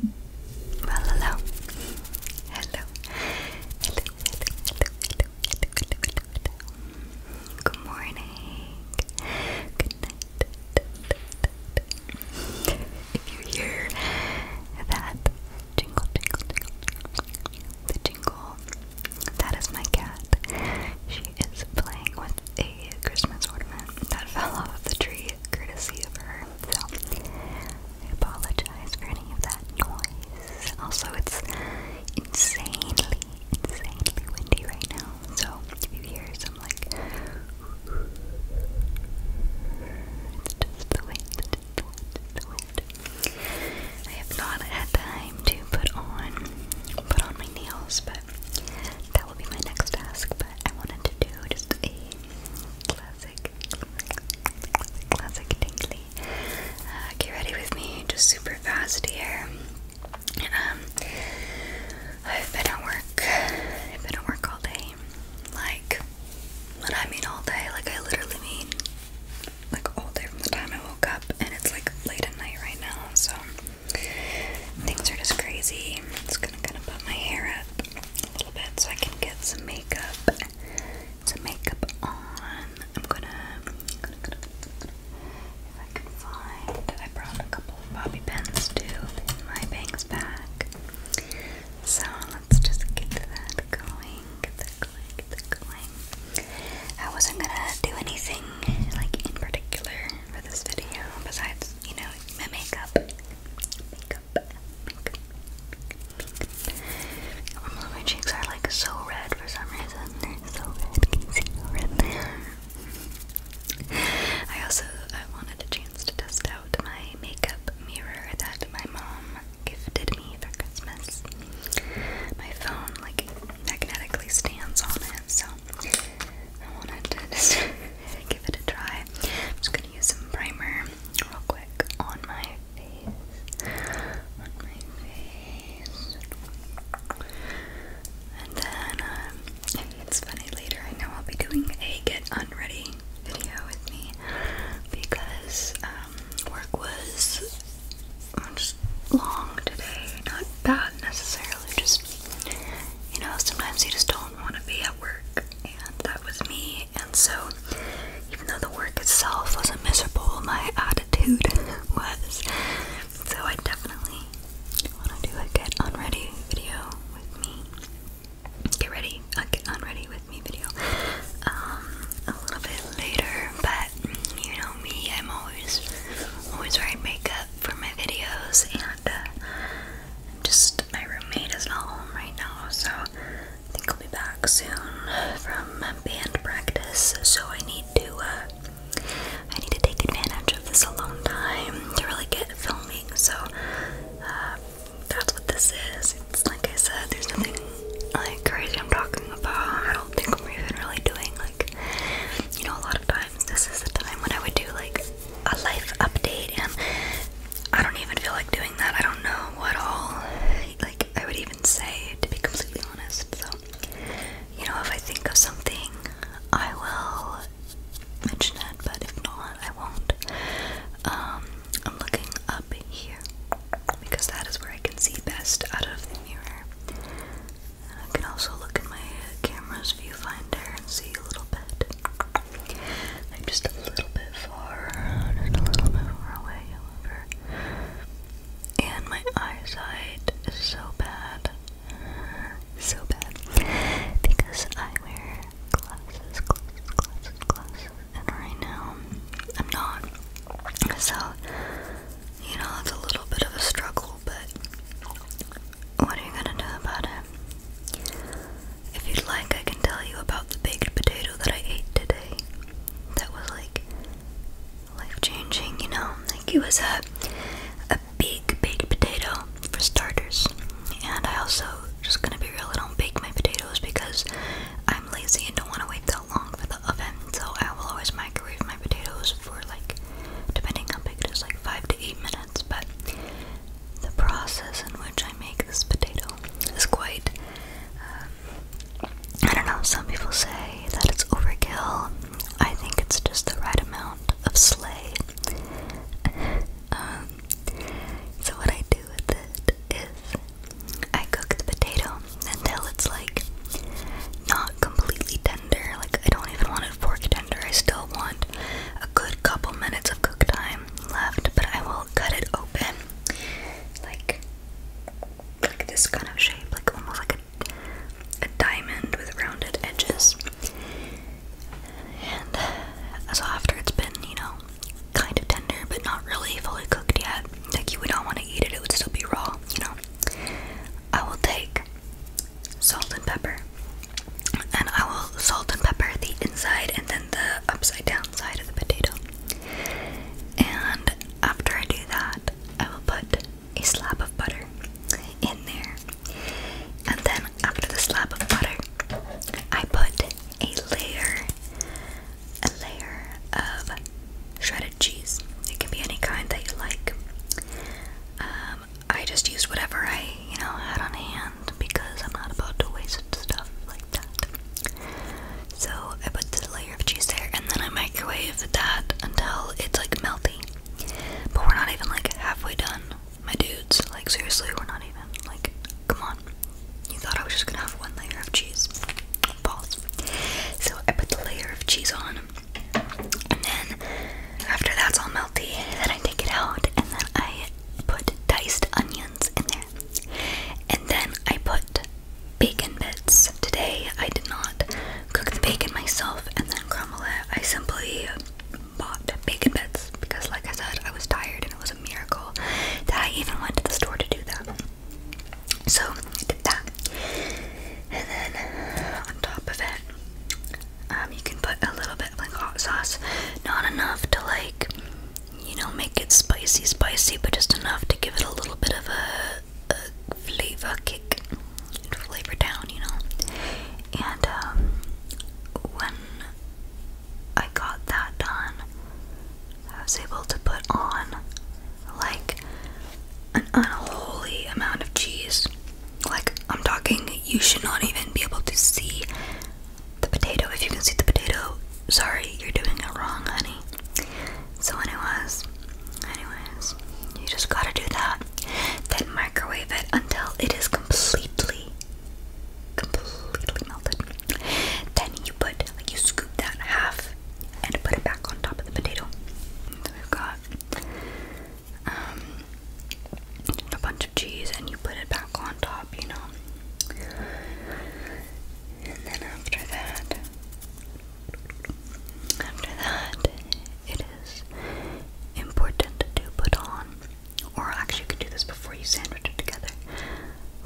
hello. Hello. Hello, hello, hello, hello, hello, hello, Good morning. Good night. If you hear that jingle, jingle, the jingle, that is my cat. She is playing with a Christmas ornament that fell off the tree courtesy of her so I apologize for any of that noise. Also, it's insanely, insanely windy right now, so if you hear some like, it's just the wind, just the wind. I have not had time to put on, put on my nails, but that will be my next task. But I wanted to do just a classic Classic tingly. Uh, get ready with me, just super fast here. Um, I've been at work. I've been at work all day. Like, what I mean all day. Like, I literally mean like all day from the time I woke up, and it's like late at night right now. So things are just crazy. It's gonna kind of put my hair up a little bit so I can get some makeup, some makeup on. I'm gonna, if I can find, I brought a couple of bobby pins to pin my bangs back. So let's just get that going, get that going, get that going. I wasn't gonna do anything like in particular for this video besides, you know, my makeup my cheeks are like so red for some reason. so red. Can red they I also I wanted a chance to test out my makeup mirror that my mom gifted me for Christmas. My phone like magnetically stands on it, so I wanted to give it a try. I'm just gonna use some primer real quick on my face, on my face, and then um, it's funny later, I know I'll be doing a get unready video with me because um, work was uh, just long today, not bad necessarily, just you know, sometimes you just don't don't want to be at work, and that was me. And so, even though the work itself wasn't miserable, my attitude was. So, I definitely want to do a get on ready video with me. Get ready, a get on ready with me video um, a little bit later, but you know me, I'm always, always wearing makeup for my videos, and uh, just my roommate is not home right now, so I think I'll be back soon from band practice, so I need to uh, I need to take advantage of this alone time to really get filming. So uh, that's what this is. It's like I said, there's nothing like crazy I'm talking about. I don't think we're even really doing like you know a lot of times. This is the time when I would do like a life update and I don't even feel like doing that. I don't know what all like I would even say to be completely honest. So you know, if I think of something, I will mention it, but if not, I won't. Um, I'm looking up here because that is where I can see best out of the mirror. And I can also look at my camera's viewfinder and see a little bit. I'm just a little bit far, just a little bit far away, And my eyesight is so bad, so bad, because I wear glasses, glasses, glasses, glasses, and right now I'm not. So, you know, it's a little bit of a struggle, but what are you gonna do about it? If you'd like, I can tell you about the baked potato that I ate today. That was like life changing, you know? Like, it was a, a big baked potato for starters. And I also, just gonna be real, I don't bake my potatoes because I'm lazy and don't want to wait that long for the oven. So I will always microwave my potatoes for like, depending how big it is, like 5 to 8 minutes. But the process in which I make this potato is quite. Um, I don't know, some people say that it's overkill. I think it's just the right amount of slay. Um, so, what I do with it is I cook the potato until it's like not completely tender. Like, I don't even want it fork tender. I still want a good couple minutes of cook time left, but I will cut it open like like this kind of shape, like almost like a, a diamond with rounded edges. And uh, so after it's been, you know, kind of tender but not really fully cooked yet, like you would not want to eat it, it would still be raw, you know. I will take salt and pepper, and I will salt and pepper the inside and then the upside down side of the potato. And after I do that, I will put a slab of butter in there. And then after the slab of butter, I put a layer, a layer of shredded cheese. It can be any kind that you like. Um, I just used whatever I, you know, had on hand because I'm not about to waste stuff like that. So I put the layer of cheese there and then I microwave that until it's like melty. But we're not even like halfway done, my dudes. Like seriously, we're not even like come on. You thought I was just gonna have one layer of cheese. Balls. So I put the layer of cheese on and then after that's all melty, then I take it out and then I put diced onions in there. And then I put bacon bits. Today I did not cook the bacon myself and then crumble it. I simply bought bacon bits because, like I said, I was tired and it was a miracle that I even went to the store to do that. So I did that. And then on top of it, um, you can put a little bit of like hot sauce, not enough to like you know, make it spicy, spicy, but just enough to give it a little bit of a, flavor kick, flavor down, you know. And um, when I got that done, I was able to put on like an unholy amount of cheese. Like, I'm talking, you should not even be able to see the potato. If you can see the potato, sorry, you're doing it wrong, honey. So, anyways, anyways, you just gotta do that. Then microwave it until it is completely, completely melted. Then you put, like, you scoop that half and put it back on top of the potato. So we've got um, a bunch of cheese, and you put it back on top, you know. And then after that, after that, it is important to put on, or actually you could do this before you sandwich it together,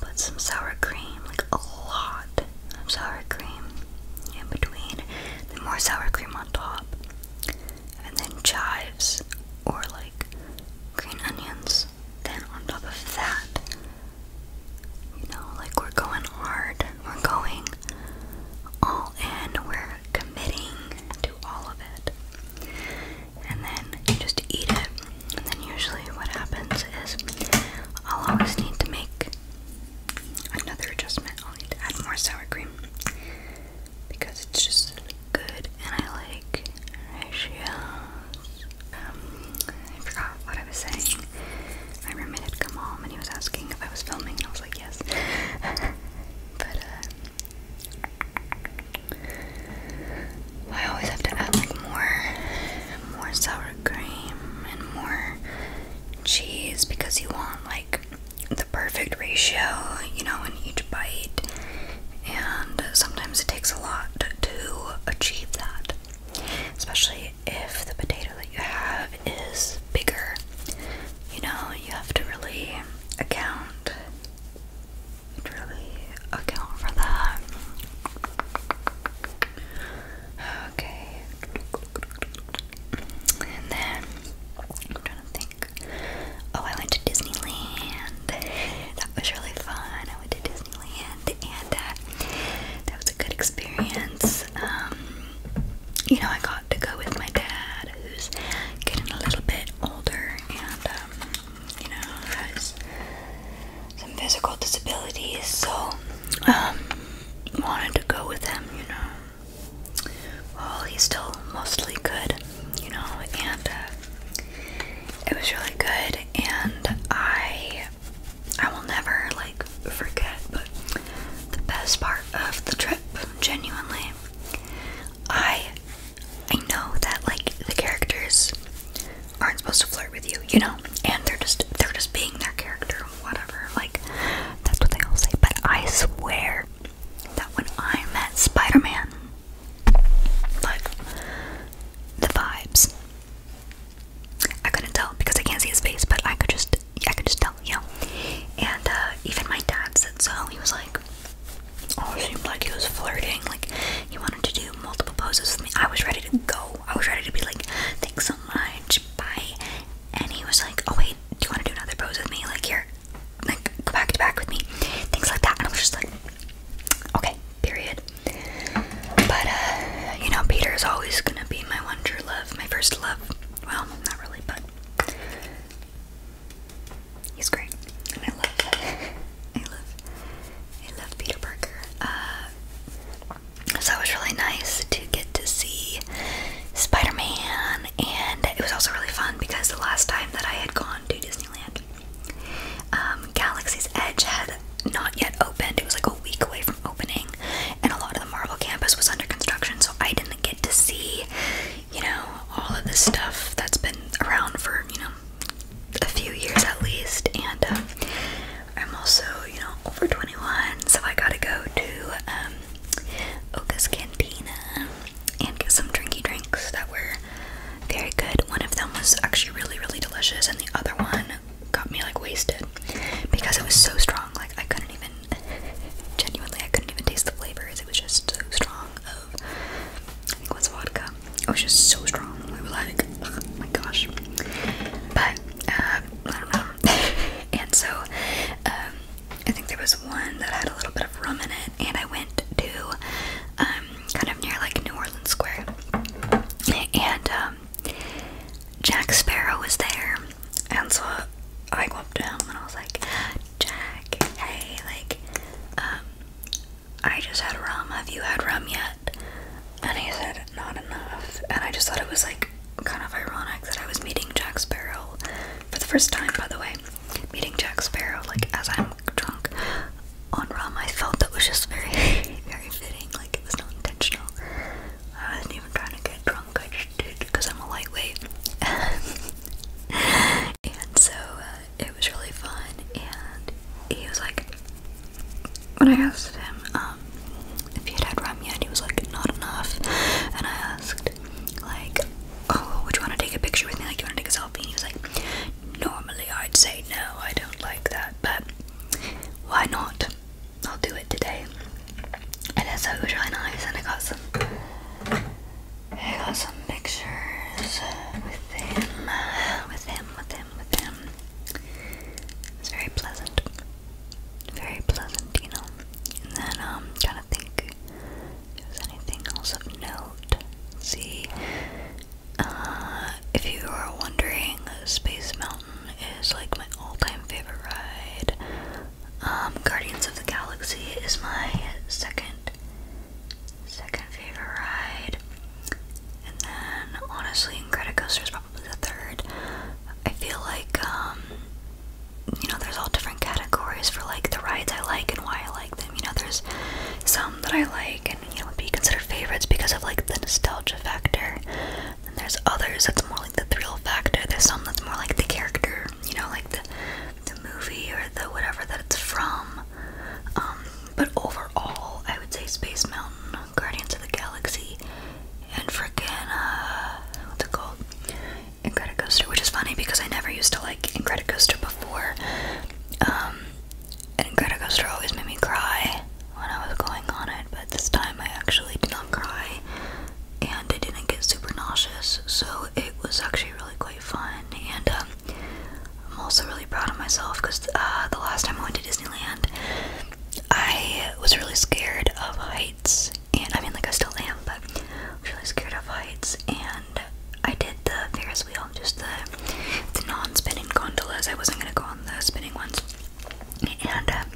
put some sour cream, like a lot of sour cream in between, then more sour cream on top, and then chives, or like green onions, then on top of that, you know, like we're going hard and we're going all in, we're committing to all of it. And then just eat it. And then usually what happens is I'll always need to make another adjustment. I'll need to add more sour cream because it's just good and I like ratios um, I forgot what I was saying. My roommate had come home and he was asking if I was filming, and I was like, yes. but, uh, I always have to add like more, more sour cream and more cheese because you want like the perfect ratio, you know, in each bite. And sometimes it takes a lot to achieve that especially if the potato that you have is bigger. You know, you have to really account, really account for that. Okay, and then I'm trying to think. Oh, I went to Disneyland. That was really fun. I went to Disneyland. Disneyland, and that uh, that was a good experience. Um, you know, I got to go with my dad, who's getting a little bit older, and um, you know, has some physical disabilities, so um, wanted to go with him, you know. Well, he's still mostly good, you know, and uh, it was really good, and I I will never like forget, but the best part of the trip, genuinely, I I know that like the characters aren't supposed to flirt with you, you know, and they're just they're just being their character, whatever. Like that's what they all say. But I swear that when I met Spider Man, like the vibes I couldn't tell because I can't see his face, but I could just, I could just tell, you know. And uh, even my dad said so. He was like, "Oh, seemed like he was flirting. Like he wanted to do multiple poses with me." I was ready to go. I was ready to be like, "Thanks so much, bye." And he was like, "Oh wait, do you want to do another pose with me? Like here, like go back to back with me, things like that." And I was just like, "Okay, period. But, uh, you know, Peter's always gonna be my one true love, my first love. Well, not really, but he's great. And I love, I love, I love Peter Parker. Uh, so it was really nice to get to see Spider-Man, and it was also really fun because the last time that I had gone to Disneyland, um, um, Galaxy's Edge had not yet opened. It was like a week away from opening, and a lot of the Marvel campus was under construction, so I didn't get to see, you know, all of this stuff that's been around for, you know, a few years at least. And um, I'm also, you know, over 21, so I gotta go to um, Oka's Cantina and get some drinky drinks that were very good. One of them was actually really, really delicious, and the other one got me like wasted because it was so strong. Like I couldn't even genuinely I couldn't even taste the flavors. It was just so strong of I it was vodka. It was just so strong. I was like, my gosh. But uh, I don't know. and so um, I think there was one that had a little bit of rum in it, and I went to um, kind of near like New Orleans Square, and um, Jack Sparrow was there, and so I go up to him and I was like, Jack, hey, like, um, I just had rum. Have you had rum yet? And he said, not enough. And I just thought it was like kind of ironic that I was meeting Jack Sparrow for the first time, by the way. Meeting Jack Sparrow, like, as I'm drunk on rum, I felt that was just very, very fitting. Like, it was not intentional. I wasn't even trying to get drunk, I just did because I'm a lightweight. and so uh, it was really fun. And he was like, when I asked him um, if he had had rum yet, he was like, not enough. And I asked, like, oh, would you want to take a picture with me? Like, you want to take a selfie? he was like, normally I'd say no, I don't like that, but why not? I'll do it today. And it's so really nice. And I got some, I got some pictures with him, with him, with him, with him. It's very pleasant, very pleasant, you know. And then um, trying to think if there's anything else of note. see, uh, if you are wondering, Space Mountain is like my all-time favorite ride. Um, Guardians of the Galaxy is my second second favorite ride. And then honestly Incredicoaster is probably the third. I feel like um you know there's all different categories for like the rides I like and why I like them. You know there's some that I like and you know would be considered favorites because of like the nostalgia factor. And there's others that's more like the thrill factor. There's some that's more like the character, you know, like the the movie or the whatever that it's from. Um, but overall, I would say Space Mountain, Guardians of the Galaxy, and freaking uh, what's it called? Incredicoaster, which is funny because I never used to like Incredicoaster before. Um, and Incredicoaster always made me cry when I was going on it, but this time I actually did not cry and I didn't get super nauseous, so it was actually really quite fun. And um, I'm also really proud of myself because uh, the last time I went to Disneyland, I was really scared of heights, and I mean, like, I still am, but I am really scared of heights, and I did the Ferris wheel, just the, the non spinning gondolas. I wasn't gonna go on the spinning ones and um,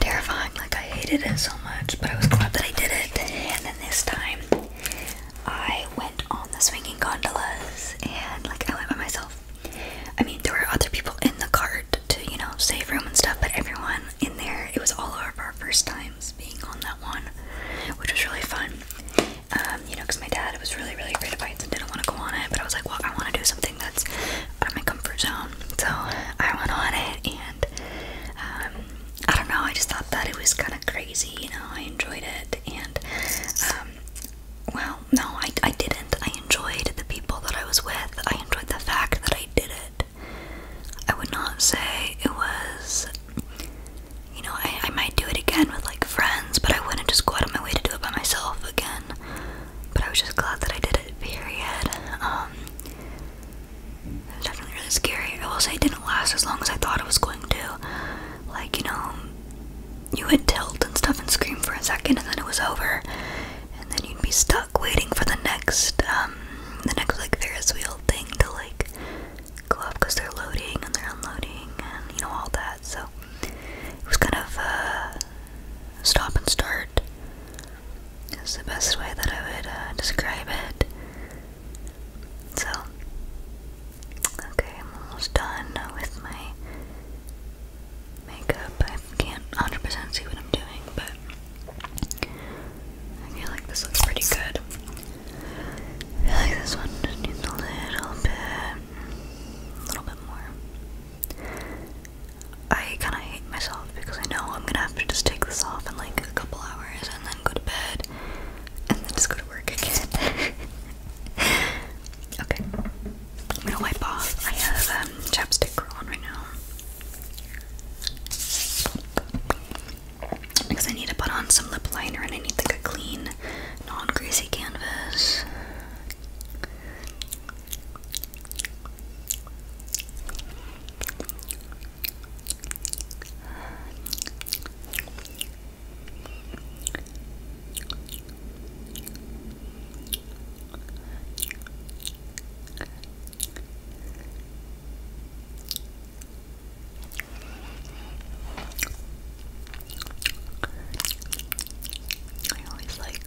terrifying. Like I hated it so much, but I was glad that I did it. And then this time, I went on the swinging gondolas, and like I went by myself. I mean, there were other people in the cart to you know save room and stuff, but everyone in there. It was all of our first times being on that one, which was really fun. Um, you know, because my dad was really, really afraid of heights and didn't want to go on it, but I was like, well, I want to do something that's out of my comfort zone. So I went on it, and um, I don't know. I just thought that it was kind of crazy. You know, I enjoyed it, and um, well, no, I I didn't. I enjoyed the people that I was with. I enjoyed the fact that I did it. I would not say it was. You know, I, I might do it again with like friends, but I wouldn't just go out of my way to do it by myself again. But I was just glad that I did it, period. Um, it was definitely really scary. I will say it didn't last as long as I thought it was going to. Like, you know, you would tilt and stuff and scream for a second and then it was over. And then you'd be stuck waiting for the next, um, the next, like, Ferris wheel thing to, like, go up because they're loading and they're unloading and, you know, all that. So, it was kind of uh, stop and start. Is the best way that I would uh, describe it. So, okay, I'm almost done with my makeup. I can't 100% see what I'm doing, but I feel like this looks pretty good. I like this one just a little bit, a little bit more. I kind of hate myself because I know I'm gonna have to just take this off in like a couple hours and then go to bed and then just go to work again. okay, I'm gonna wipe off. I have um, chapstick on right now because I need to put on some lip liner and I need like a clean, non greasy canvas. I always like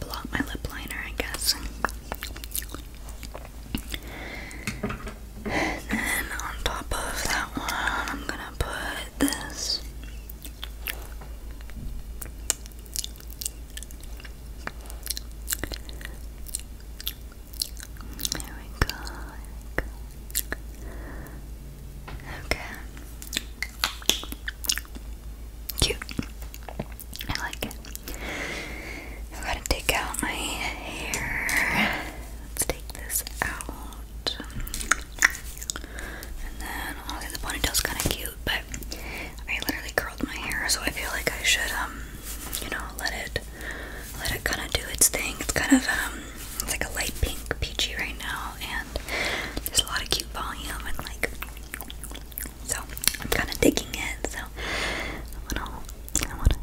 Block my lip liner, I guess. And on top of that one, I'm gonna put this. There we go. Okay. Cute. I like it. I'm gonna take out my hair. Let's take this out. And then, honestly, the ponytail's kind of cute, but I literally curled my hair, so I feel like I should, um, you know, let it, let it kind of do its thing. It's kind of, um, it's like a light pink peachy right now, and there's a lot of cute volume and like so I'm kind of digging it. So I wanna, I wanna.